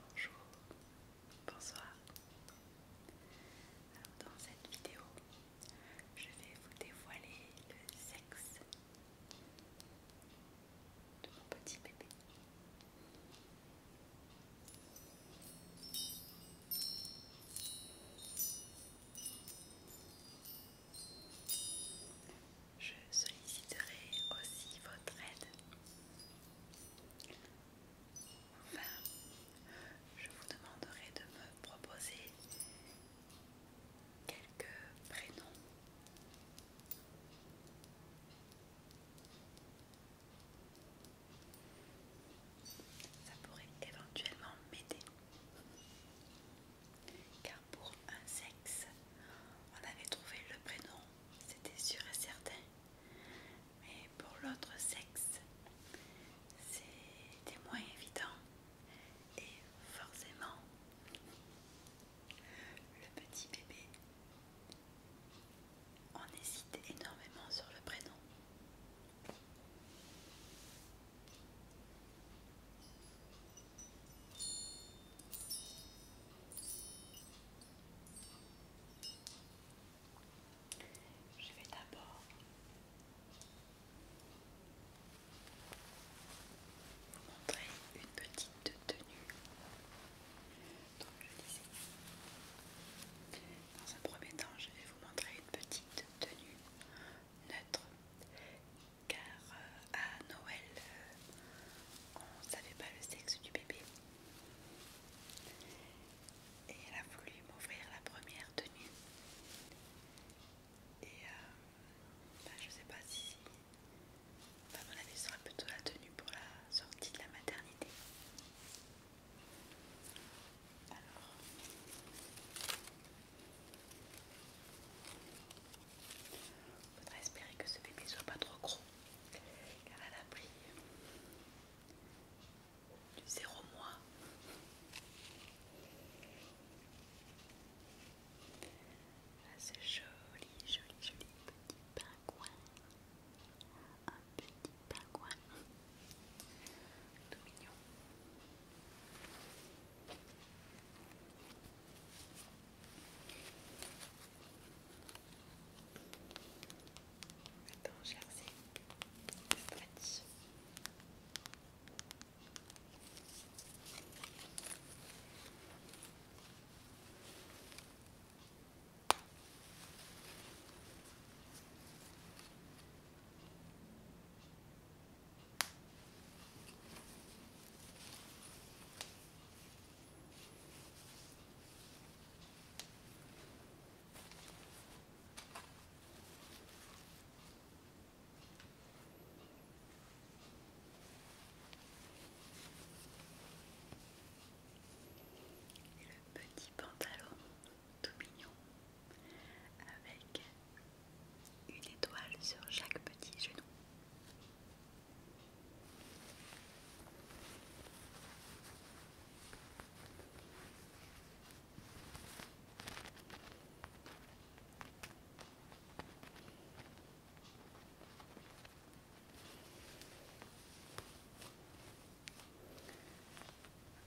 Bonjour, bonsoir. dans cette vidéo, je vais vous dévoiler le sexe de mon petit bébé. Je solliciterai aussi votre aide. Enfin, je vous demanderai de me proposer quelques prénoms. Ça pourrait éventuellement m'aider. Car pour un sexe, on avait trouvé le prénom, c'était sûr et certain. Mais pour l'autre sexe, c'était moins évident. Et forcément, le petit bébé on hésite énormément sur le prénom. Je vais d'abord vous montrer une petite tenue. Dans un premier temps, je vais vous montrer une petite tenue neutre, car euh, à Noël, euh, on ne savait pas le sexe du bébé. Et elle a voulu m'offrir la première tenue. Et euh, bah, je ne sais pas si... À mon avis, ce sera plutôt la tenue pour la sortie de la maternité. Alors. faudra espérer que ce bébé soit pas trop gros, car elle a pris du zéro mois. Là, c'est joli, joli, joli petit pingouin un petit pingouin tout mignon. Attends, jersey, stretch. Voilà. Le petit pantalon tout mignon avec une étoile sur chaque petit genou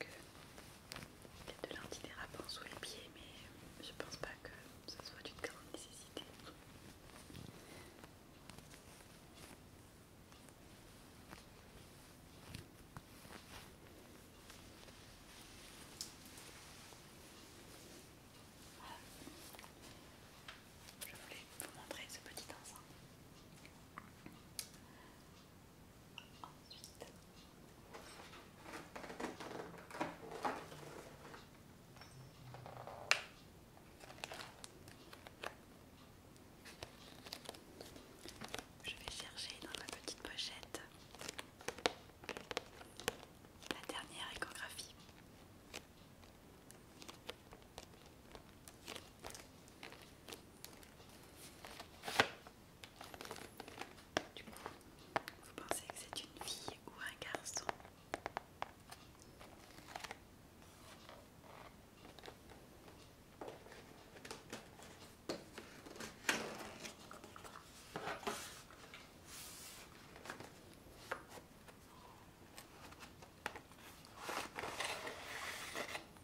il y a de l'antidérapant sous les pieds, mais je pense pas que ce soit d'une grande nécessité. Je voulais vous montrer ce petit ensemble je vais chercher dans ma petite pochette la dernière échographie. Du coup, vous pensez que c'est une fille ou un garçon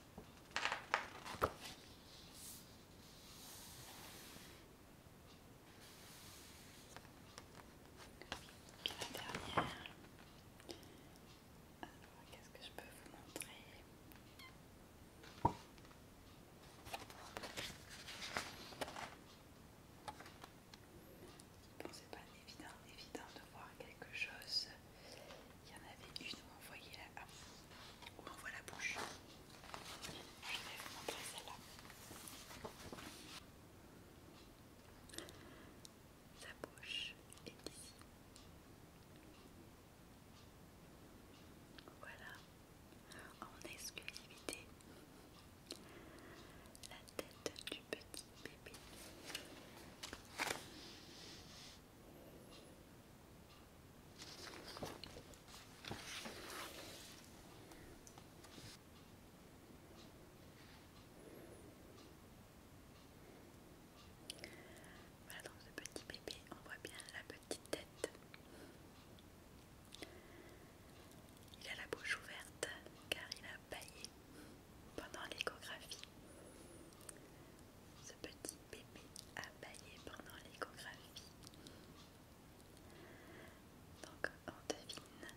la dernière. Alors, qu'est-ce que je peux vous montrer Bon, c'est pas évident, évident de voir quelque chose il y en avait une où on voyait la, ah, on voit la bouche. Je vais vous montrer celle-là. Sa bouche est ici. Voilà, en exclusivité, la tête du petit bébé. Voilà, dans ce petit bébé, on voit bien la petite tête. Il a la bouche ouverte car il a baillé pendant l'échographie. Ce petit bébé a baillé pendant l'échographie. Donc on devine,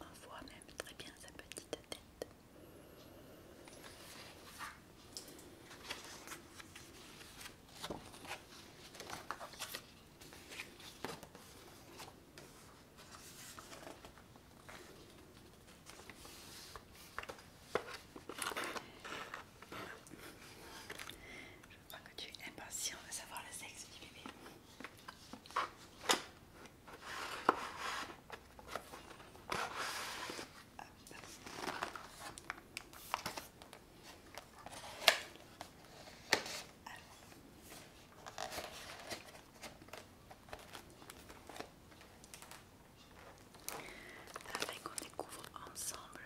on voit même très bien sa petite tête. Je crois que tu es impatient de savoir le sexe du bébé afin qu'on découvre ensemble.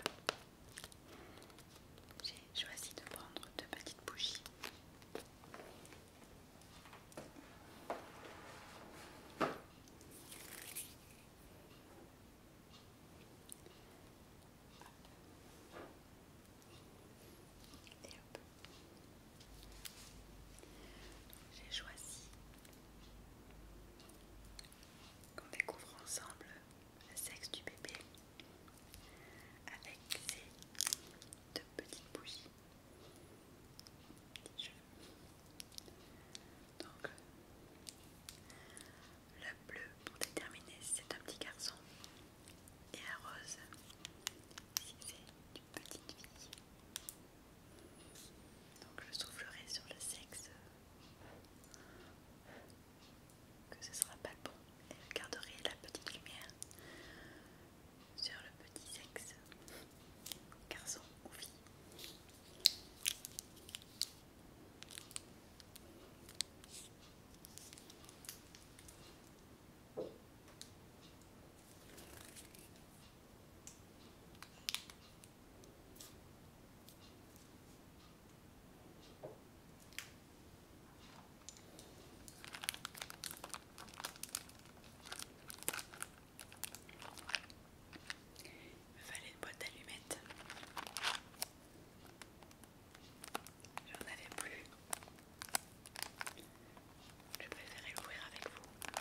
J'ai choisi de prendre deux petites bougies. J'ai choisi qu'on découvre ensemble le sexe du bébé avec ces deux petites bougies. Donc, le bleu pour déterminer si c'est un petit garçon et la rose si c'est une petite fille. Donc je soufflerai sur le sexe euh, que ce sera pas bon et je garderai la petite lumière sur le petit sexe, garçon ou fille. Il me fallait une boîte d'allumettes. J'en avais plus. Je préférais l'ouvrir avec vous.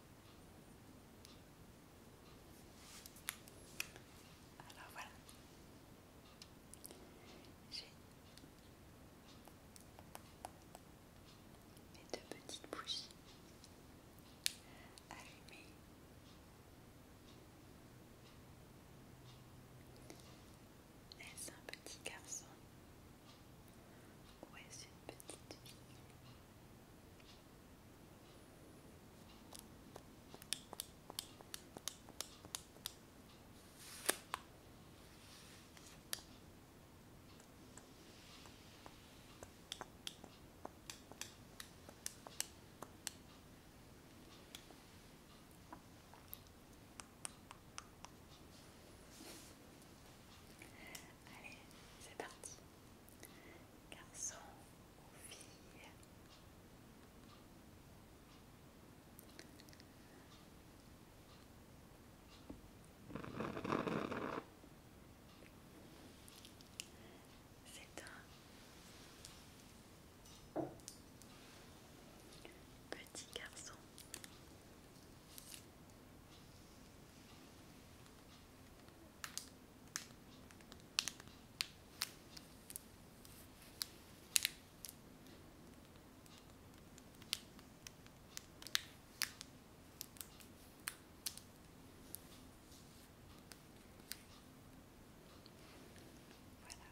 Alors voilà. J'ai mes deux petites bougies allumées. Est-ce un petit garçon ou est-ce une petite fille Allez, c'est parti. Garçon, c'est un petit garçon. Voilà.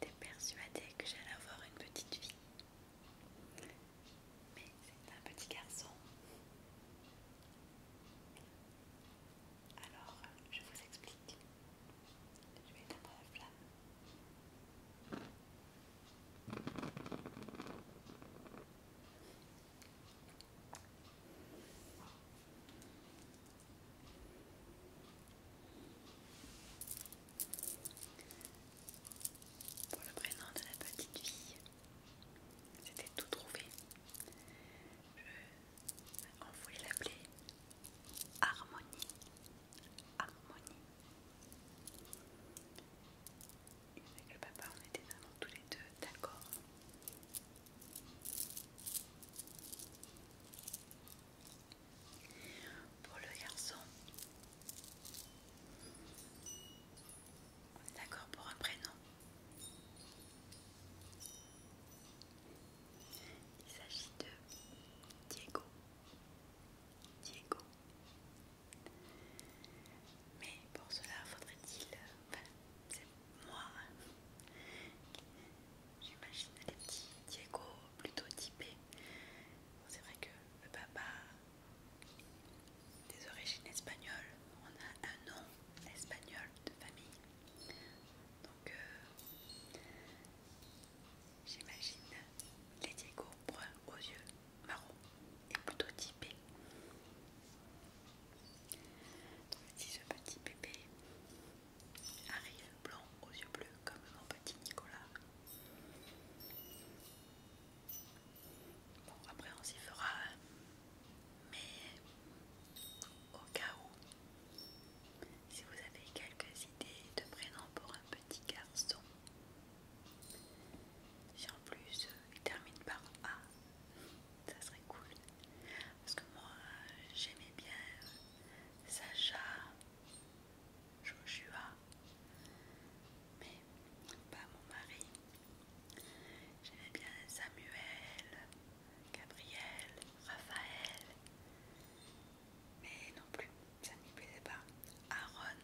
t'ai persuadé que j'allais avoir une petite fille. Mais c'est un petit garçon. Alors, je vous explique. Je vais éteindre la flamme. Pour le prénom de la petite fille, c'était tout trouvé. On voulait l'appeler Harmonie. Harmonie. Avec le papa, on était vraiment tous les deux d'accord. Pour le garçon, on est d'accord pour un prénom il s'agit de Diego. Diego. Mais pour cela, faudrait-il... Enfin, c'est moi. J'imagine les petits Diego plutôt typés. c'est vrai que le papa des origines espagnoles, on a un nom espagnol de famille. Donc, euh, j'imagine les Diego brun aux yeux marron et plutôt typé. Donc, ce petit bébé arrive blanc aux yeux bleus comme mon petit Nicolas. Bon, après on s'y fera hein. Mais au cas où, si vous avez quelques idées de prénoms pour un petit garçon, si en plus euh, il termine par A, ça serait cool. Parce que moi j'aimais bien Sacha, Joshua, mais pas mon mari. J'aimais bien Samuel, Gabriel, Raphaël, mais non plus, ça ne me plaisait pas. Aaron,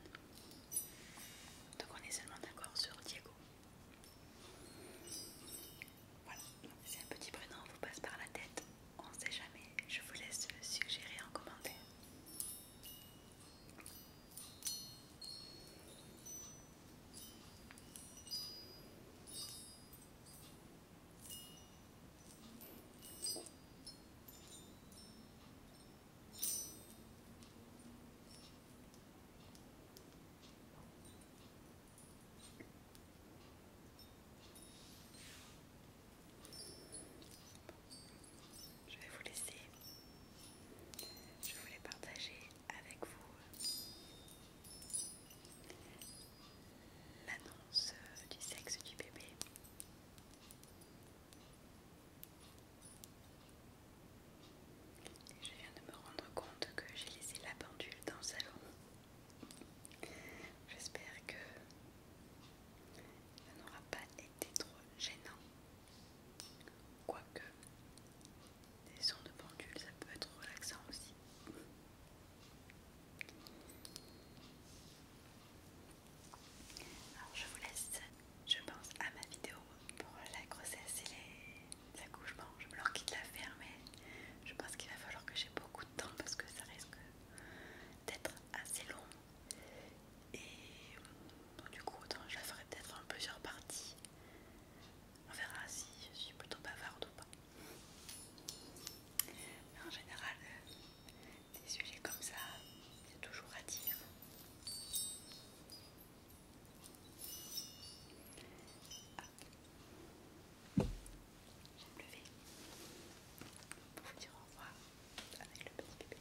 donc on est seulement d'accord sur Diego. Voilà, c'est un petit prénom, vous passe par la tête, on ne sait jamais. Je vous laisse le suggérer en commentaire. Je vais vous laisser. Je voulais partager avec vous l'annonce euh, du sexe du bébé. je viens de me rendre compte que j'ai laissé la pendule dans le salon. J'espère que ça n'aura pas été trop gênant. Quoique, des sons de pendule, ça peut être relaxant aussi. Alors je vous laisse, je pense à ma vidéo pour la grossesse et les accouchements. Je me leur quitte la faire mais je pense qu'il va falloir que j'ai beaucoup de temps parce que ça risque d'être assez long. Et du coup, je la ferai peut-être en plusieurs parties. On verra si je suis plutôt bavarde ou pas. Mais en général, euh, des sujets comme ça, c'est toujours à dire. Je me lève pour vous dire au revoir avec le Petit bébé.